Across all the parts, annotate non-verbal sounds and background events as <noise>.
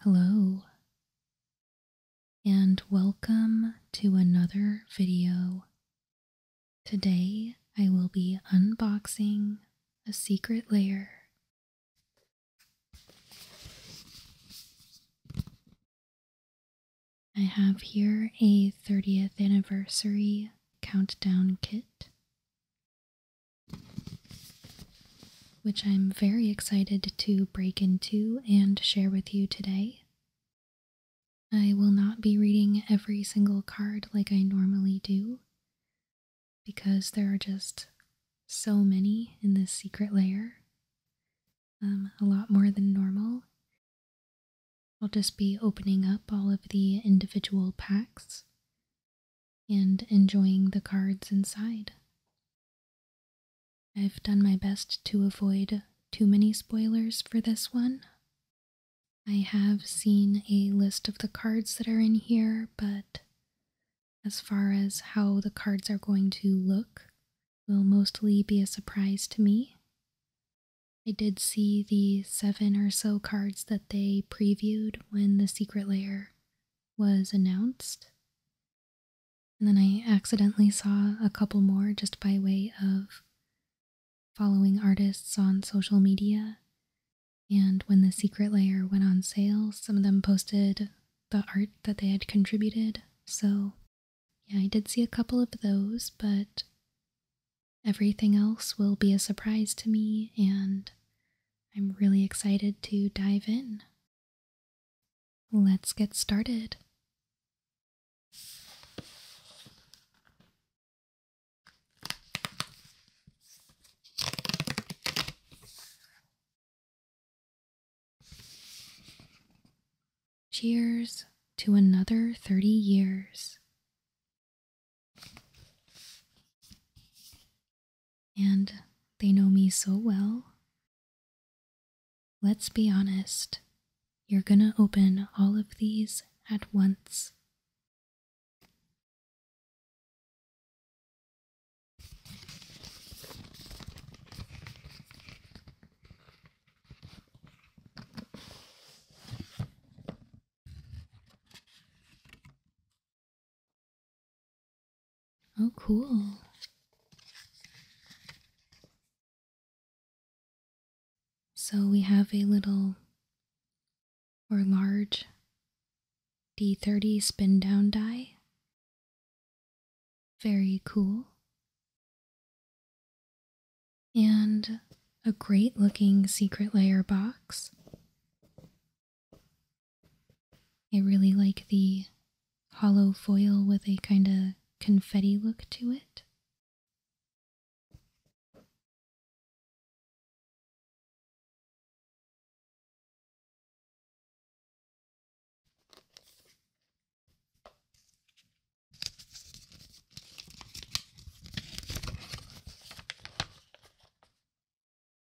Hello, and welcome to another video. Today I will be unboxing a secret layer. I have here a 30th anniversary countdown kit, which I'm very excited to break into and share with you today. I will not be reading every single card like I normally do, because there are just so many in this secret layer. Um, a lot more than normal. I'll just be opening up all of the individual packs and enjoying the cards inside. I've done my best to avoid too many spoilers for this one. I have seen a list of the cards that are in here, but as far as how the cards are going to look, will mostly be a surprise to me. I did see the seven or so cards that they previewed when the secret layer was announced. And then I accidentally saw a couple more just by way of following artists on social media. And when the secret layer went on sale, some of them posted the art that they had contributed. So yeah, I did see a couple of those, but everything else will be a surprise to me, and I'm really excited to dive in. Let's get started. Cheers to another 30 years. And they know me so well. Let's be honest, you're gonna open all of these at once. Oh, cool. So we have a little or large D30 spin down die. Very cool and a great looking secret layer box. I really like the hollow foil with a kind of confetti look to it.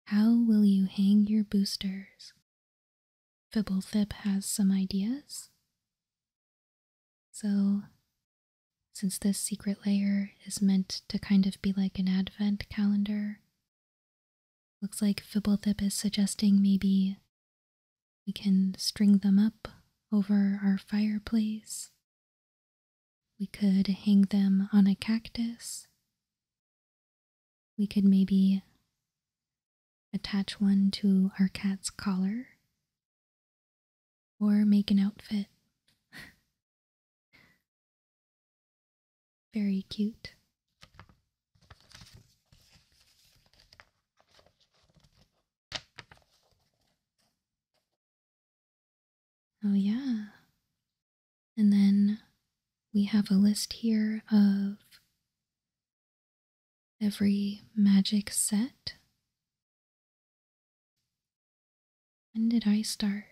How will you hang your boosters? Fibblethip has some ideas. So, since this secret layer is meant to kind of be like an advent calendar, looks like Fibblethip is suggesting maybe we can string them up over our fireplace. We could hang them on a cactus. We could maybe attach one to our cat's collar or make an outfit. <laughs> Very cute. Oh, yeah. And then we have a list here of every magic set. When did I start?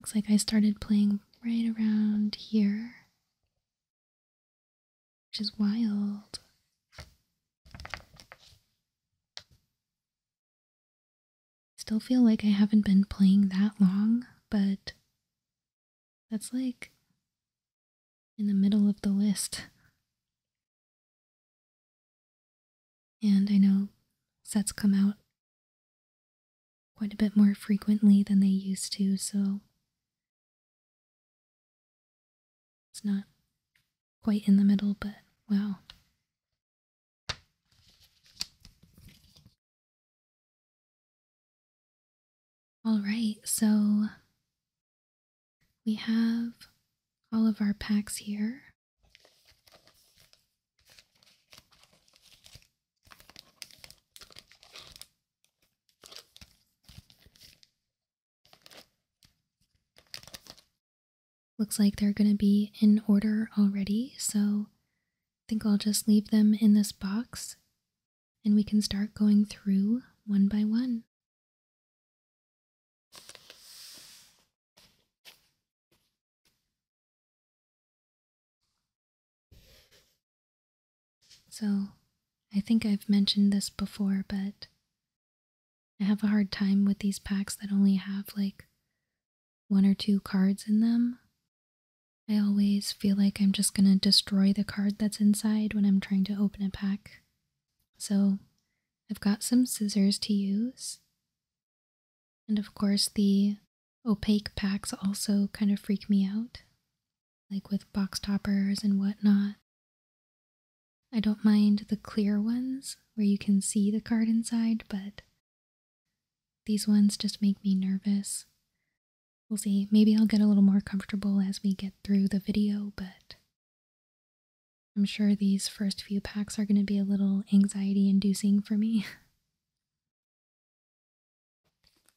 Looks like I started playing right around here which is wild. Still feel like I haven't been playing that long, but that's like in the middle of the list. And I know sets come out quite a bit more frequently than they used to, so it's not quite in the middle, but wow. All right, so we have all of our packs here. Looks like they're going to be in order already, so I think I'll just leave them in this box and we can start going through one by one. So, I think I've mentioned this before, but I have a hard time with these packs that only have like one or two cards in them. I always feel like I'm just gonna destroy the card that's inside when I'm trying to open a pack. So, I've got some scissors to use. And of course, the opaque packs also kind of freak me out like with box toppers and whatnot. I don't mind the clear ones where you can see the card inside, but these ones just make me nervous. We'll see. Maybe I'll get a little more comfortable as we get through the video, but I'm sure these first few packs are going to be a little anxiety inducing for me. <laughs>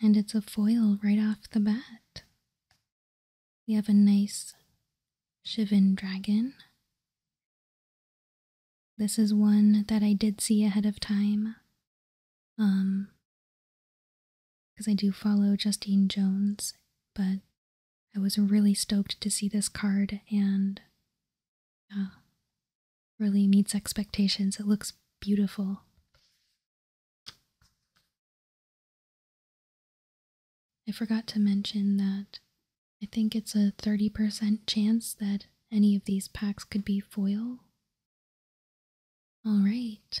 And it's a foil right off the bat. We have a nice Shivan dragon. This is one that I did see ahead of time. Um, because I do follow Justine Jones, but I was really stoked to see this card and uh, really meets expectations. It looks beautiful. I forgot to mention that I think it's a 30% chance that any of these packs could be foil. Alright,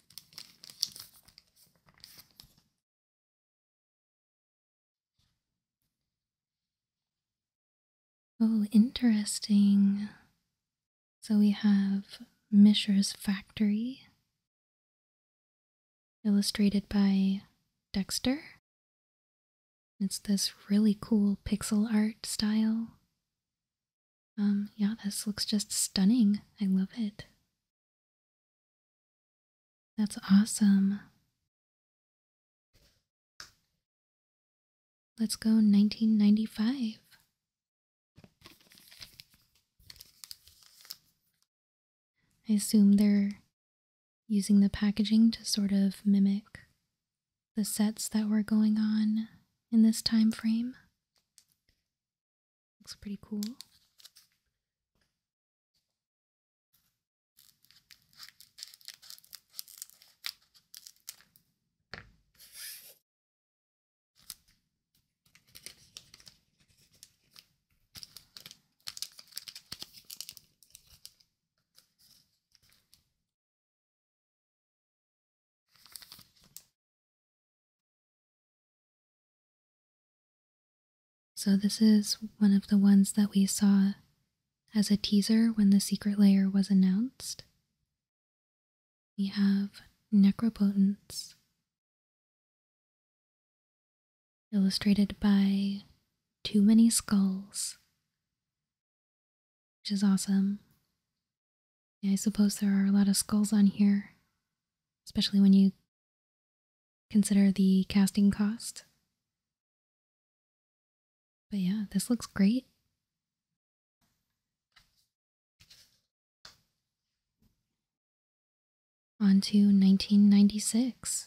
Oh, interesting. So we have Mishra's Factory, illustrated by Dexter. It's this really cool pixel art style. Um, yeah, this looks just stunning. I love it. That's awesome. Let's go 1995. I assume they're using the packaging to sort of mimic the sets that were going on in this time frame. Looks pretty cool. So, this is one of the ones that we saw as a teaser when the secret layer was announced. We have Necropotence, illustrated by Too Many Skulls, which is awesome. I suppose there are a lot of skulls on here especially when you consider the casting cost. But yeah, this looks great. On to 1996.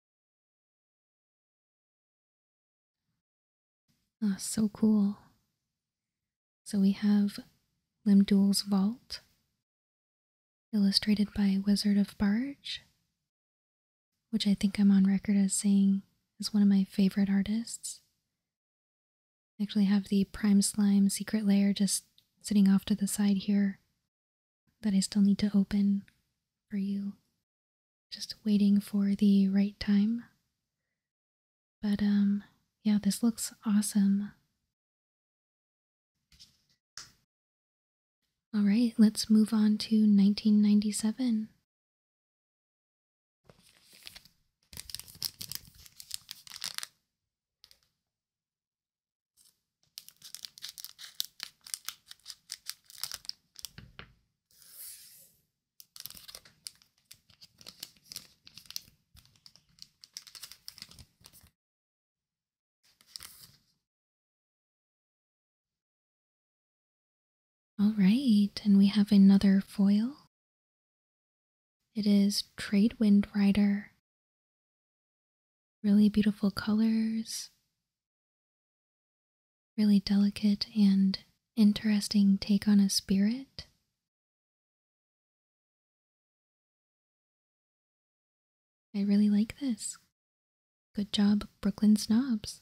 Oh, so cool. So we have Limdul's Vault, illustrated by Wizard of Barge, which I think I'm on record as saying is one of my favorite artists. I actually have the Prime Slime Secret Layer just sitting off to the side here that I still need to open for you just waiting for the right time. But um yeah, this looks awesome. All right, let's move on to 1997. All right, and we have another foil. It is Trade Wind Rider. Really beautiful colors, really delicate and interesting take on a spirit. I really like this. Good job, Brooklyn Snobs.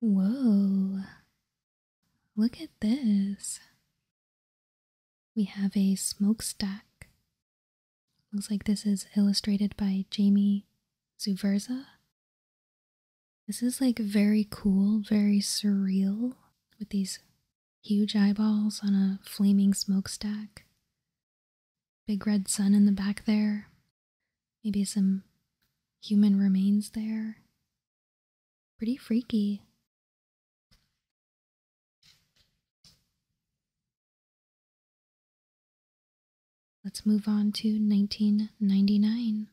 Whoa, look at this. We have a smokestack. Looks like this is illustrated by Jamie Zuverza. This is like very cool, very surreal with these huge eyeballs on a flaming smokestack. Big red sun in the back there. Maybe some human remains there. Pretty freaky. Let's move on to 1999.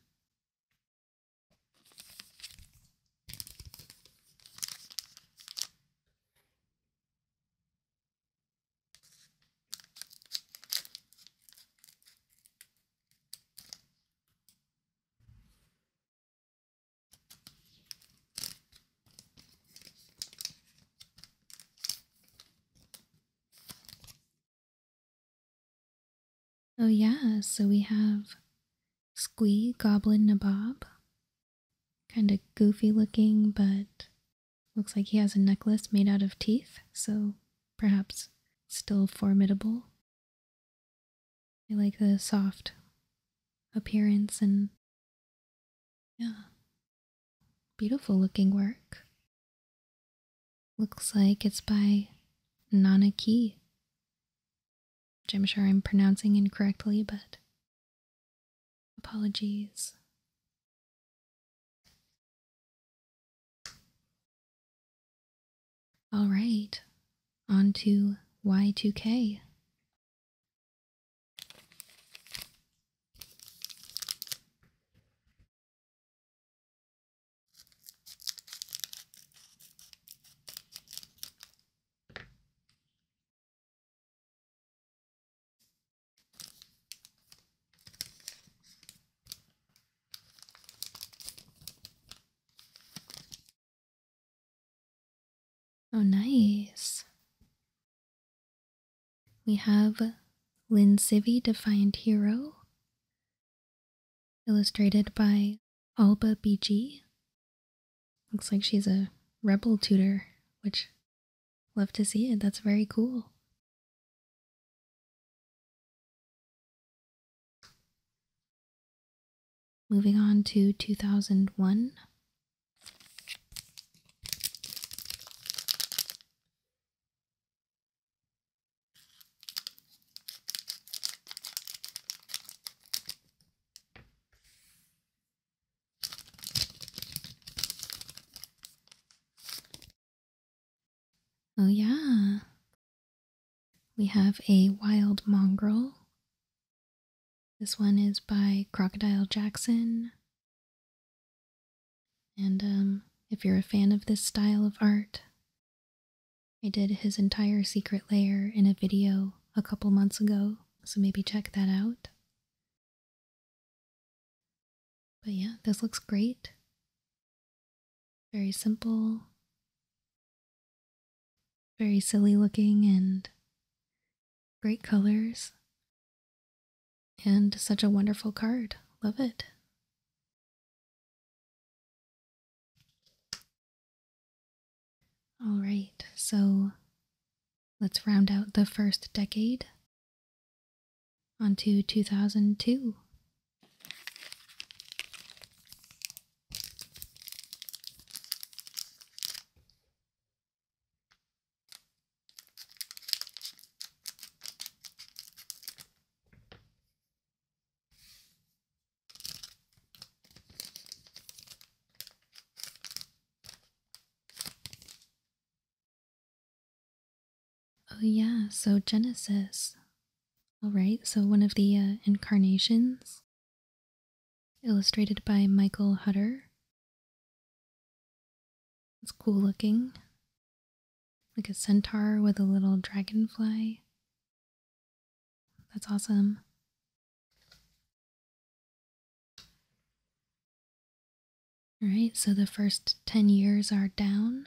Oh, yeah, so we have Squee Goblin Nabob. Kind of goofy looking, but looks like he has a necklace made out of teeth, so perhaps still formidable. I like the soft appearance and yeah, beautiful looking work. Looks like it's by Nana which I'm sure I'm pronouncing incorrectly, but apologies. All right, on to Y2K. Oh, nice. We have Lin Civi, Defiant Hero, illustrated by Alba BG. Looks like she's a rebel tutor, which love to see it. That's very cool. Moving on to 2001. Oh, yeah, we have a wild mongrel. This one is by Crocodile Jackson. And um, if you're a fan of this style of art, I did his entire secret layer in a video a couple months ago, so maybe check that out. But yeah, this looks great. Very simple, very silly looking, and great colors. And such a wonderful card. Love it. All right, so let's round out the first decade onto 2002 Oh, yeah, so Genesis. All right, so one of the uh, incarnations, illustrated by Michael Hutter. It's cool looking, like a centaur with a little dragonfly. That's awesome. All right, so the first 10 years are down.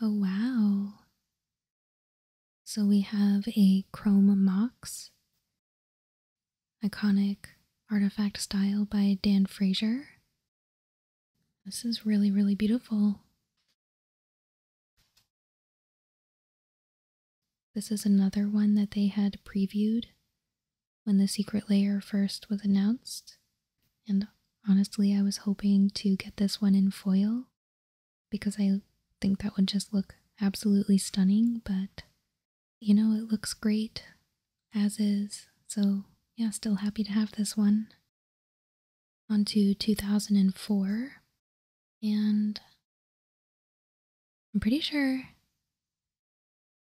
Oh, wow. So we have a chrome mox, iconic artifact style by Dan Frazier. This is really, really beautiful. This is another one that they had previewed when the secret layer first was announced. And honestly, I was hoping to get this one in foil because I think that would just look absolutely stunning, but you know, it looks great as is. So, yeah, still happy to have this one. On to 2004. And I'm pretty sure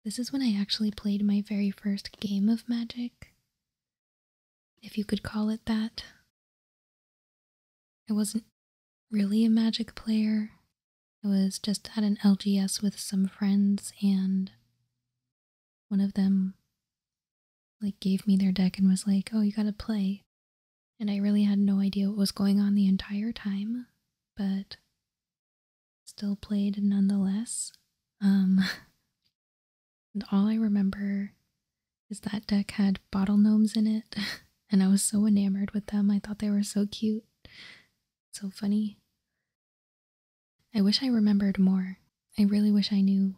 this is when I actually played my very first game of Magic if you could call it that. I wasn't really a Magic player. I was just at an LGS with some friends, and one of them like gave me their deck and was like, "Oh, you got to play." And I really had no idea what was going on the entire time, but still played nonetheless. Um <laughs> And all I remember is that deck had bottle gnomes in it, <laughs> and I was so enamored with them. I thought they were so cute, so funny. I wish I remembered more. I really wish I knew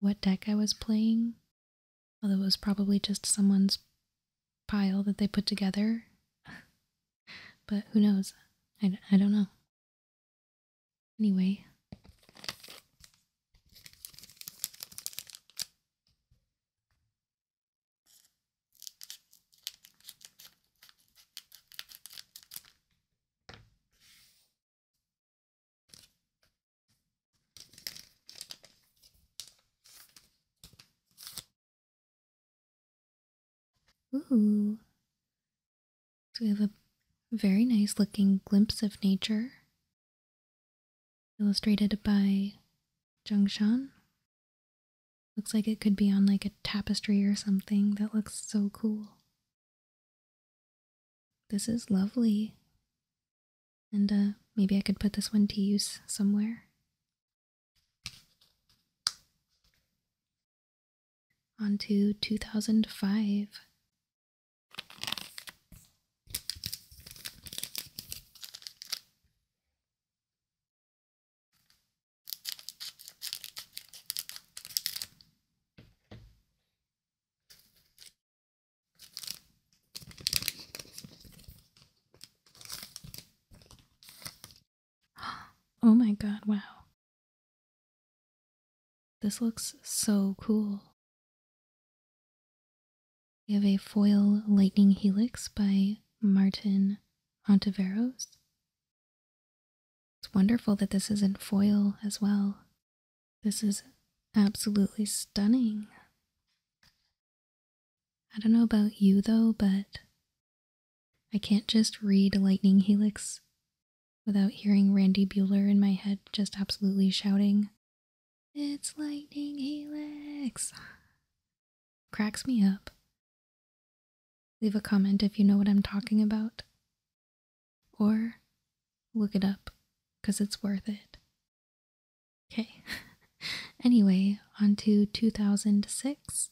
what deck I was playing, although it was probably just someone's pile that they put together. <laughs> but who knows? I, I don't know. Anyway. Ooh, so we have a very nice looking glimpse of nature illustrated by Zhengshan. Looks like it could be on like a tapestry or something. That looks so cool. This is lovely. And uh, maybe I could put this one to use somewhere. On to 2005. <gasps> Oh my god, wow. This looks so cool. We have a foil lightning helix by Martin Ontiveros. It's wonderful that this is not foil as well. This is absolutely stunning. I don't know about you though, but I can't just read Lightning Helix without hearing Randy Bueller in my head just absolutely shouting, It's Lightning Helix! <sighs> Cracks me up. Leave a comment if you know what I'm talking about. Or look it up, because it's worth it. Okay. <laughs> anyway, on to 2006.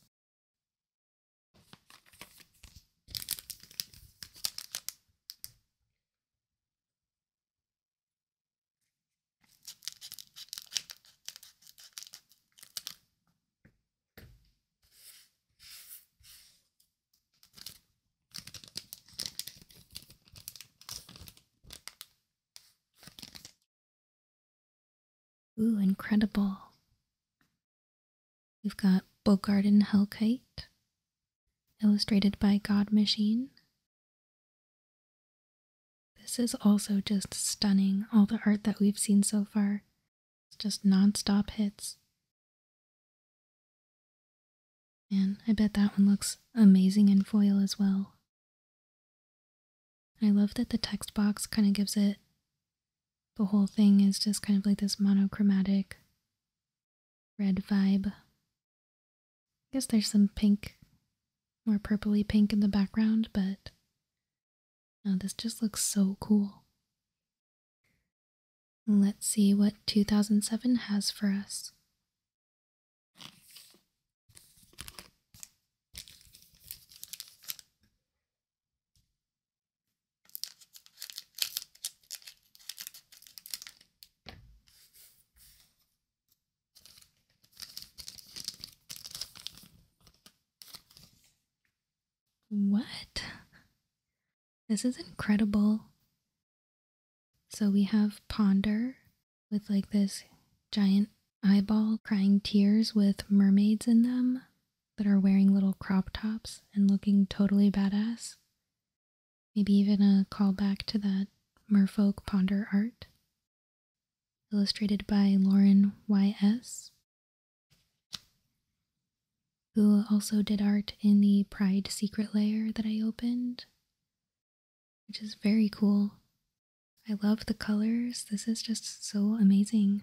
Ooh, incredible. We've got Bogart Hellkite, illustrated by God Machine. This is also just stunning. All the art that we've seen so far it's just nonstop hits. And I bet that one looks amazing in foil as well. I love that the text box kind of gives it the whole thing is just kind of like this monochromatic red vibe. I guess there's some pink, more purpley pink in the background, but no, oh, this just looks so cool. Let's see what 2007 has for us. What? This is incredible. So we have Ponder with like this giant eyeball crying tears with mermaids in them that are wearing little crop tops and looking totally badass. Maybe even a callback to that merfolk ponder art. Illustrated by Lauren Y.S., who also did art in the Pride Secret Layer that I opened, which is very cool. I love the colors. This is just so amazing.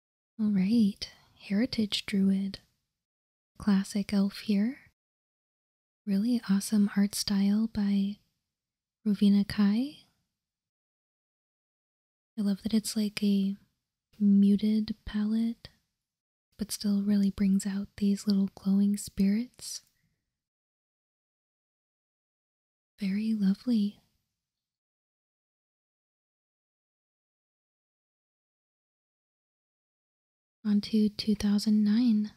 All right, Heritage Druid. Classic elf here. Really awesome art style by Rovina Kai. I love that it's like a muted palette, but still really brings out these little glowing spirits. Very lovely. On to 2009.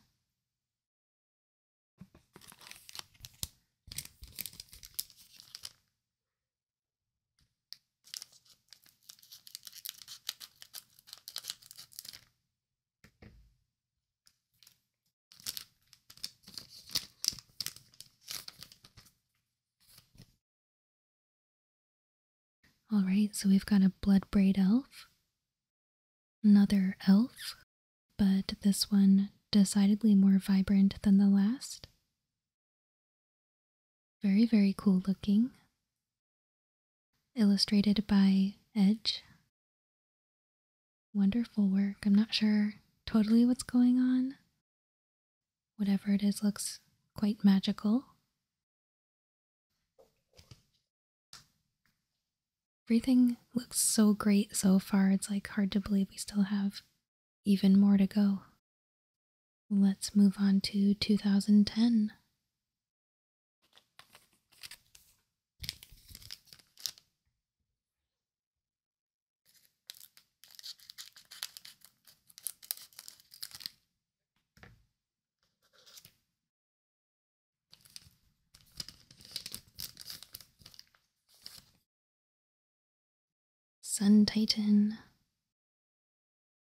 Alright, so we've got a blood braid elf, another elf, but this one decidedly more vibrant than the last. Very, very cool looking. Illustrated by Edge. Wonderful work. I'm not sure totally what's going on Whatever it is looks quite magical. Everything looks so great so far, it's like hard to believe we still have even more to go. Let's move on to 2010. Sun Titan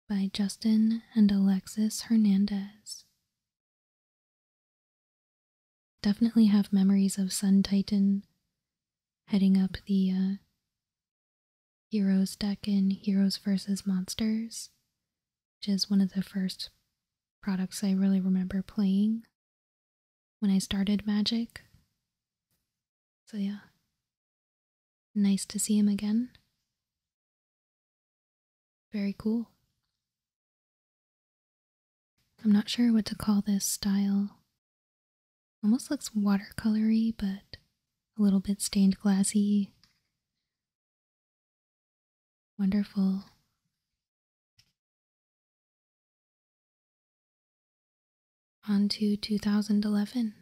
by Justin and Alexis Hernandez. Definitely have memories of Sun Titan heading up the uh, Heroes deck and Heroes versus Monsters, which is one of the first products I really remember playing when I started Magic. So, yeah. Nice to see him again. Very cool. I'm not sure what to call this style Almost looks watercolory, but a little bit stained glassy. Wonderful. On to 2011.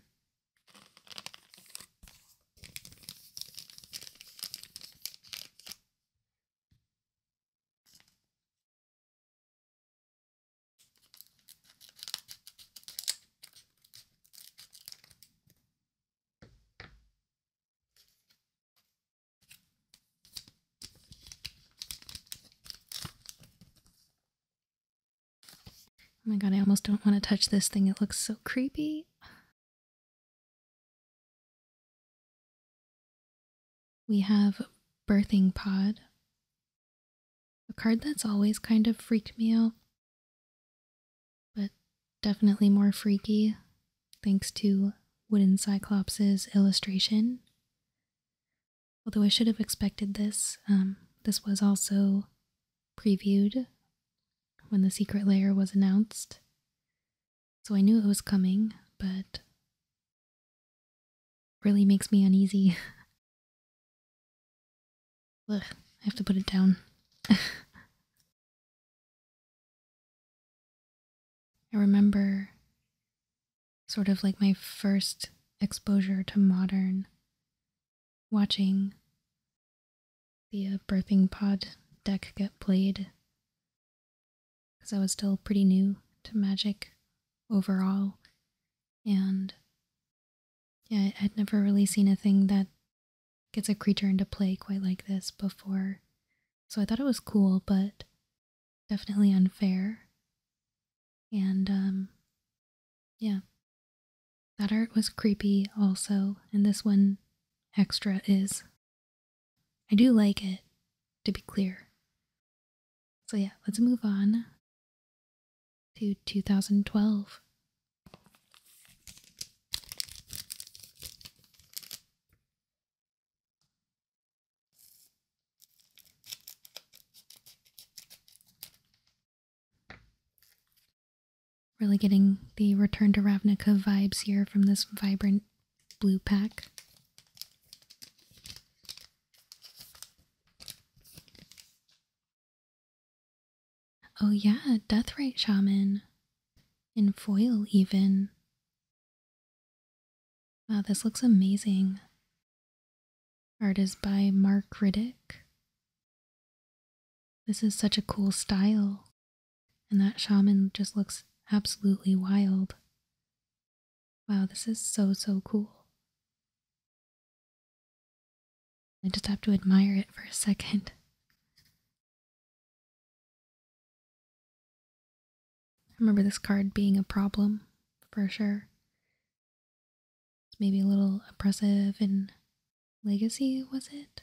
Oh my god, I almost don't want to touch this thing. It looks so creepy. We have birthing pod a card that's always kind of freaked me out, but definitely more freaky thanks to Wooden Cyclops' illustration. Although I should have expected this, um, this was also previewed when the secret layer was announced. So I knew it was coming, but really makes me uneasy. Look, <laughs> I have to put it down. <laughs> I remember sort of like my first exposure to modern watching the uh, birthing pod deck get played because I was still pretty new to magic overall and yeah, I'd never really seen a thing that gets a creature into play quite like this before. So I thought it was cool, but definitely unfair. And um yeah. That art was creepy also, and this one extra is. I do like it, to be clear. So, yeah, let's move on to 2012. Really getting the Return to Ravnica vibes here from this vibrant blue pack. Oh, yeah, death rate Shaman. In foil, even. Wow, this looks amazing. Art is by Mark Riddick. This is such a cool style, and that shaman just looks absolutely wild. Wow, this is so, so cool. I just have to admire it for a second. I remember this card being a problem for sure. maybe a little oppressive and Legacy, was it?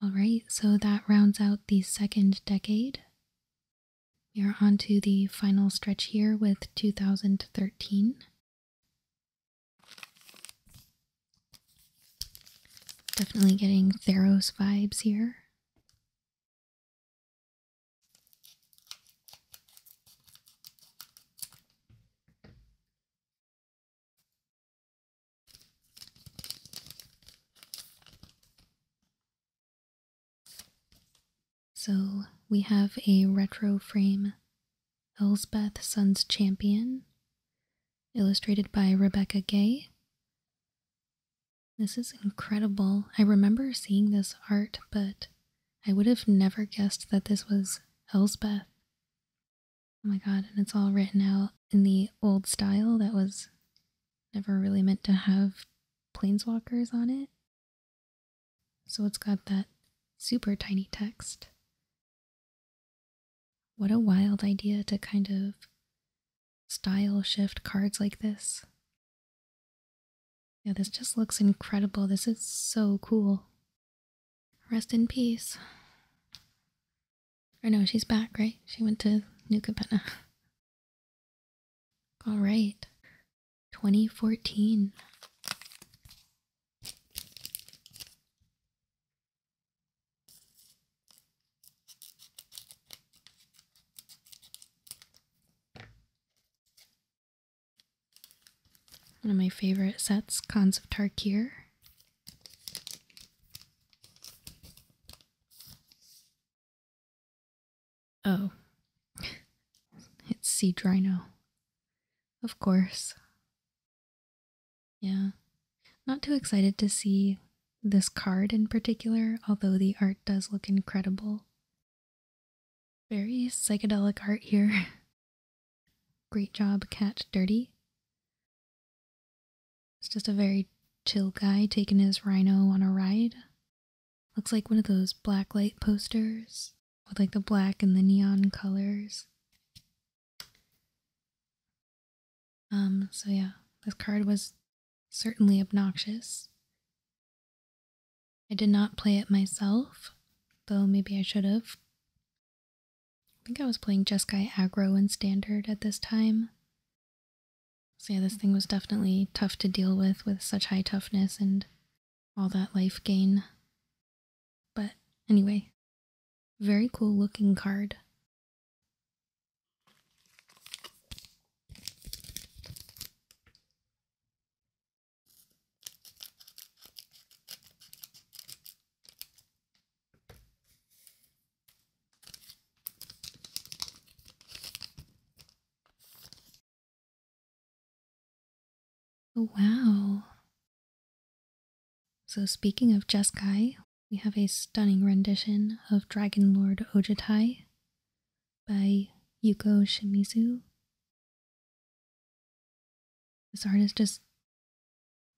Alright, so that rounds out the second decade we are on to the final stretch here with 2013. Definitely getting Theros vibes here. So we have a retro frame Elsbeth Sun's Champion, illustrated by Rebecca Gay. This is incredible. I remember seeing this art, but I would have never guessed that this was Elsbeth. Oh my god, and it's all written out in the old style that was never really meant to have planeswalkers on it. So it's got that super tiny text. What a wild idea to kind of style shift cards like this. Yeah, this just looks incredible. This is so cool. Rest in peace. Or no, she's back, right? She went to New Cabana. <laughs> All right. 2014. One of my favorite sets, Cons of Tarkir. Oh. It's Sea Drino. Of course. Yeah. Not too excited to see this card in particular, although the art does look incredible. Very psychedelic art here. <laughs> Great job, Cat Dirty. It's just a very chill guy taking his rhino on a ride. Looks like one of those black light posters with like the black and the neon colors. Um, so yeah, this card was certainly obnoxious. I did not play it myself, though maybe I should have. I think I was playing Jeskai aggro and standard at this time. So yeah, this thing was definitely tough to deal with with such high toughness and all that life gain. But anyway, very cool looking card. Oh, wow. So, speaking of Jeskai, we have a stunning rendition of Dragon Lord Ojitai by Yuko Shimizu. This art is just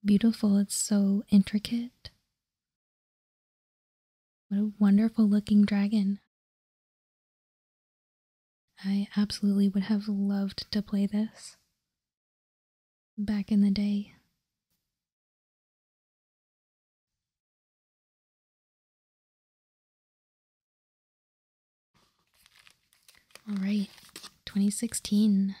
beautiful, it's so intricate. What a wonderful looking dragon. I absolutely would have loved to play this back in the day. All right, 2016.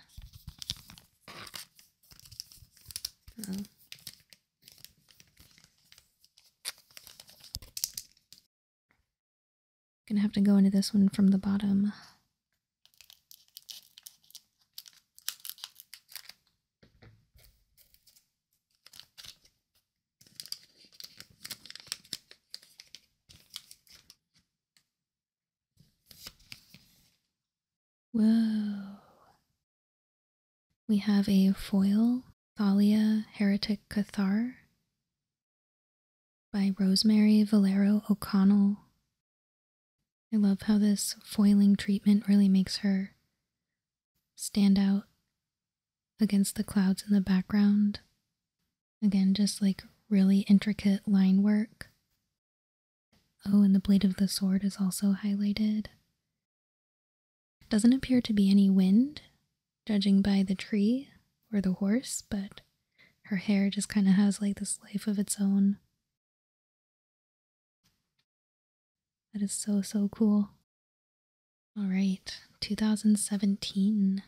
Gonna have to go into this one from the bottom. Whoa. We have a foil Thalia Heretic Cathar by Rosemary Valero O'Connell. I love how this foiling treatment really makes her stand out against the clouds in the background. Again, just like really intricate line work. Oh, and the blade of the sword is also highlighted. Doesn't appear to be any wind, judging by the tree or the horse, but her hair just kind of has like this life of its own. That is so, so cool. All right, 2017.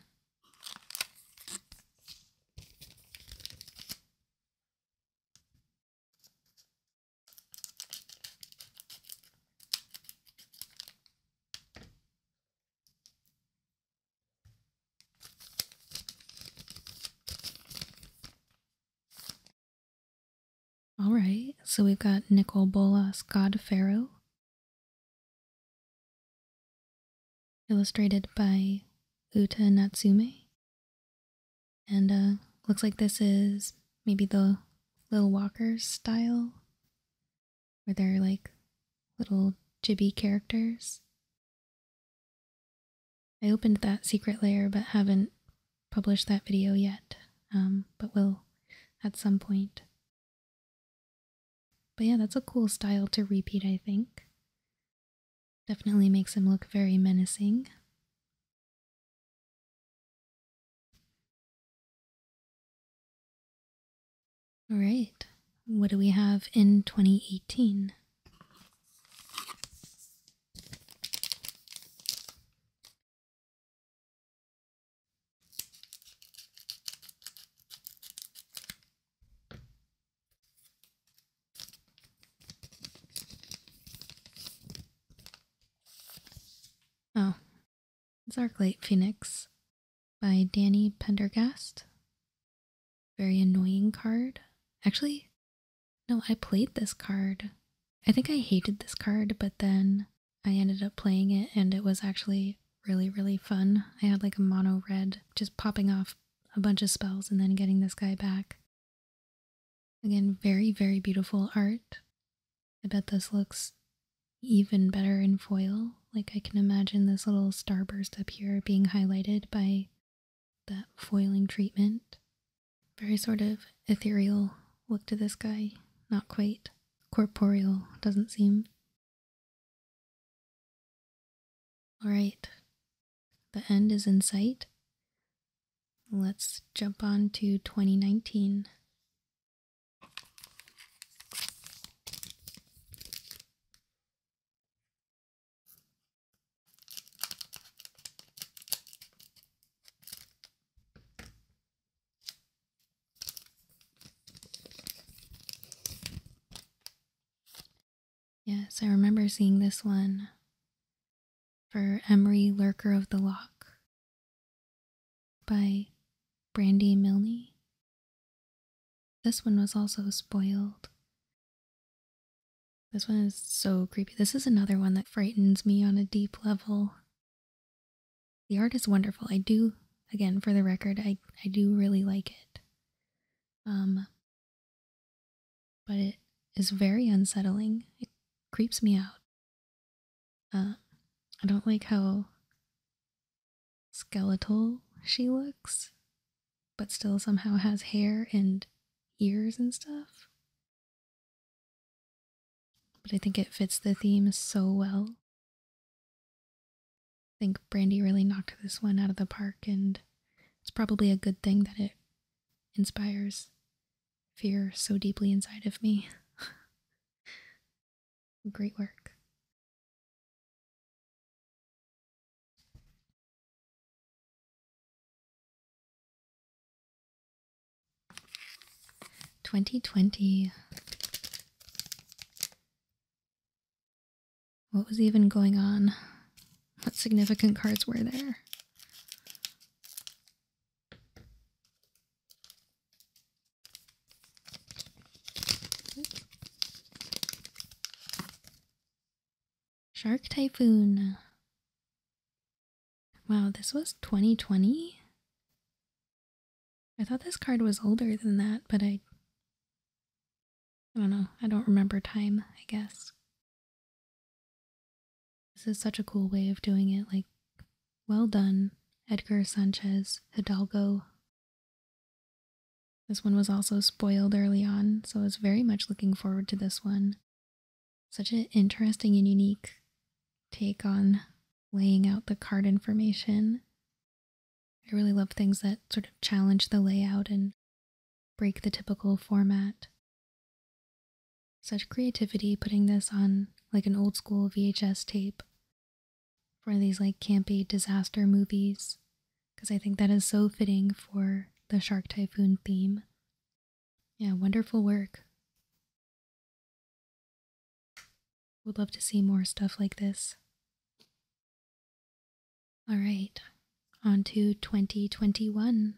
All right, so we've got Nicol Bolas Godfero, illustrated by Uta Natsume. And uh, looks like this is maybe the Lil Walker style where they like little jibby characters. I opened that secret layer but haven't published that video yet, um, but will at some point. But yeah, that's a cool style to repeat, I think. Definitely makes him look very menacing. All right. What do we have in 2018? Oh, Zarklight Phoenix by Danny Pendergast. Very annoying card. Actually, no, I played this card. I think I hated this card, but then I ended up playing it and it was actually really, really fun. I had like a mono red just popping off a bunch of spells and then getting this guy back. Again, very, very beautiful art. I bet this looks even better in foil. Like I can imagine this little starburst up here being highlighted by that foiling treatment. Very sort of ethereal look to this guy. Not quite. Corporeal doesn't seem. Alright, the end is in sight. Let's jump on to 2019. Yes, I remember seeing this one for Emery Lurker of the Lock by Brandy Milne. This one was also spoiled. This one is so creepy. This is another one that frightens me on a deep level. The art is wonderful. I do, again, for the record, I, I do really like it. Um, but it is very unsettling. It creeps me out. Uh, I don't like how skeletal she looks, but still somehow has hair and ears and stuff. But I think it fits the theme so well. I think Brandy really knocked this one out of the park, and it's probably a good thing that it inspires fear so deeply inside of me. <laughs> Great work. Twenty twenty. What was even going on? What significant cards were there? Shark Typhoon. Wow, this was 2020? I thought this card was older than that, but I... I don't know. I don't remember time, I guess. This is such a cool way of doing it. Like, well done, Edgar Sanchez Hidalgo this one was also spoiled early on, so I was very much looking forward to this one. Such an interesting and unique take on laying out the card information. I really love things that sort of challenge the layout and break the typical format. Such creativity putting this on like an old school VHS tape for these like campy disaster movies because I think that is so fitting for the shark typhoon theme. Yeah, wonderful work. Would love to see more stuff like this. All right, on to 2021.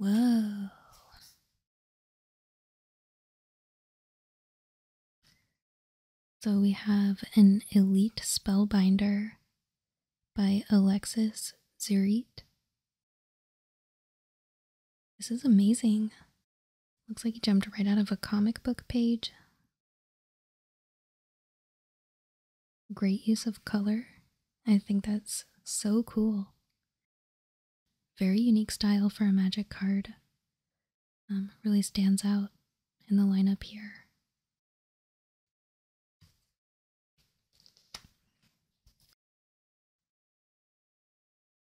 Whoa. So we have an elite spellbinder, by Alexis Zurit. This is amazing. Looks like he jumped right out of a comic book page. Great use of color. I think that's so cool. Very unique style for a magic card. Um, really stands out in the lineup here.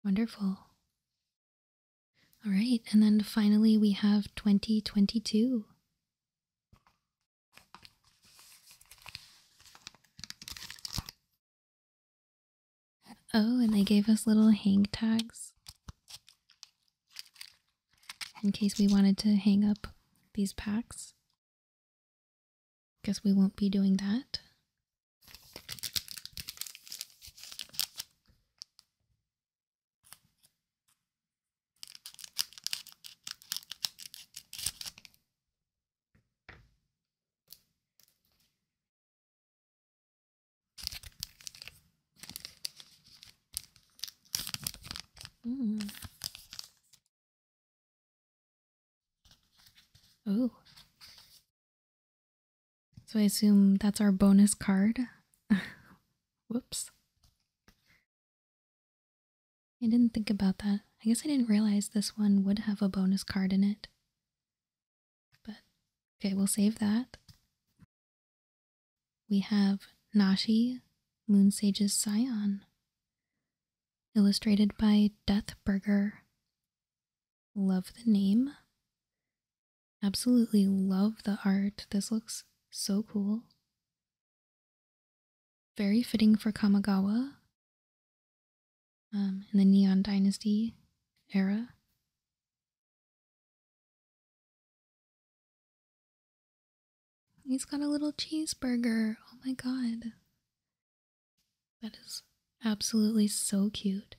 Wonderful. All right, and then finally we have 2022. Oh, and they gave us little hang tags in case we wanted to hang up these packs. Guess we won't be doing that. Mm. Oh. So I assume that's our bonus card. <laughs> Whoops. I didn't think about that. I guess I didn't realize this one would have a bonus card in it. But okay, we'll save that we have Nashi, Moon Sage's Scion, illustrated by Deathburger. Love the name. Absolutely love the art. This looks so cool. Very fitting for Kamigawa um, in the Neon Dynasty era. He's got a little cheeseburger. Oh my god. That is absolutely so cute.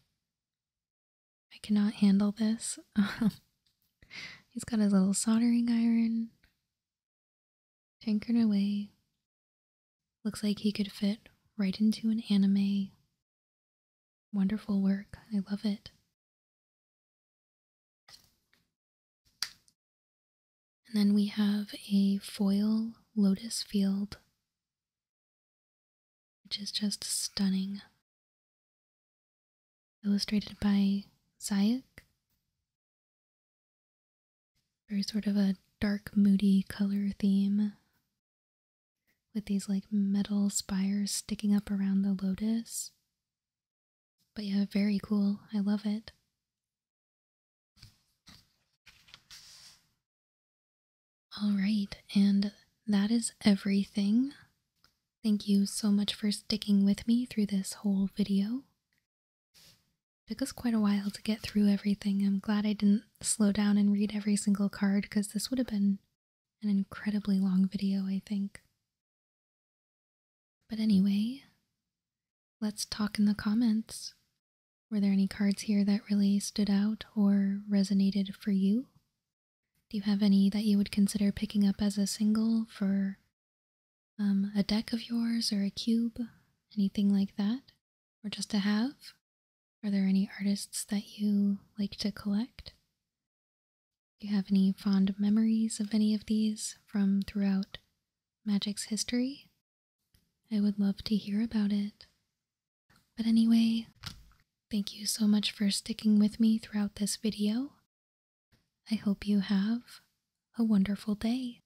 I cannot handle this. <laughs> Um, he's got his little soldering iron. tinkering away. Looks like he could fit right into an anime. Wonderful work. I love it. And then we have a foil lotus field, which is just stunning. Illustrated by Zayak. Very sort of a dark, moody color theme with these like metal spires sticking up around the lotus. But yeah, very cool. I love it. All right, and that is everything. Thank you so much for sticking with me through this whole video. It took us quite a while to get through everything. I'm glad I didn't slow down and read every single card because this would have been an incredibly long video, I think. But anyway, let's talk in the comments. Were there any cards here that really stood out or resonated for you? Do you have any that you would consider picking up as a single for um, a deck of yours or a cube? Anything like that? Or just to have? Are there any artists that you like to collect? Do you have any fond memories of any of these from throughout magic's history. I would love to hear about it. But anyway, thank you so much for sticking with me throughout this video. I hope you have a wonderful day.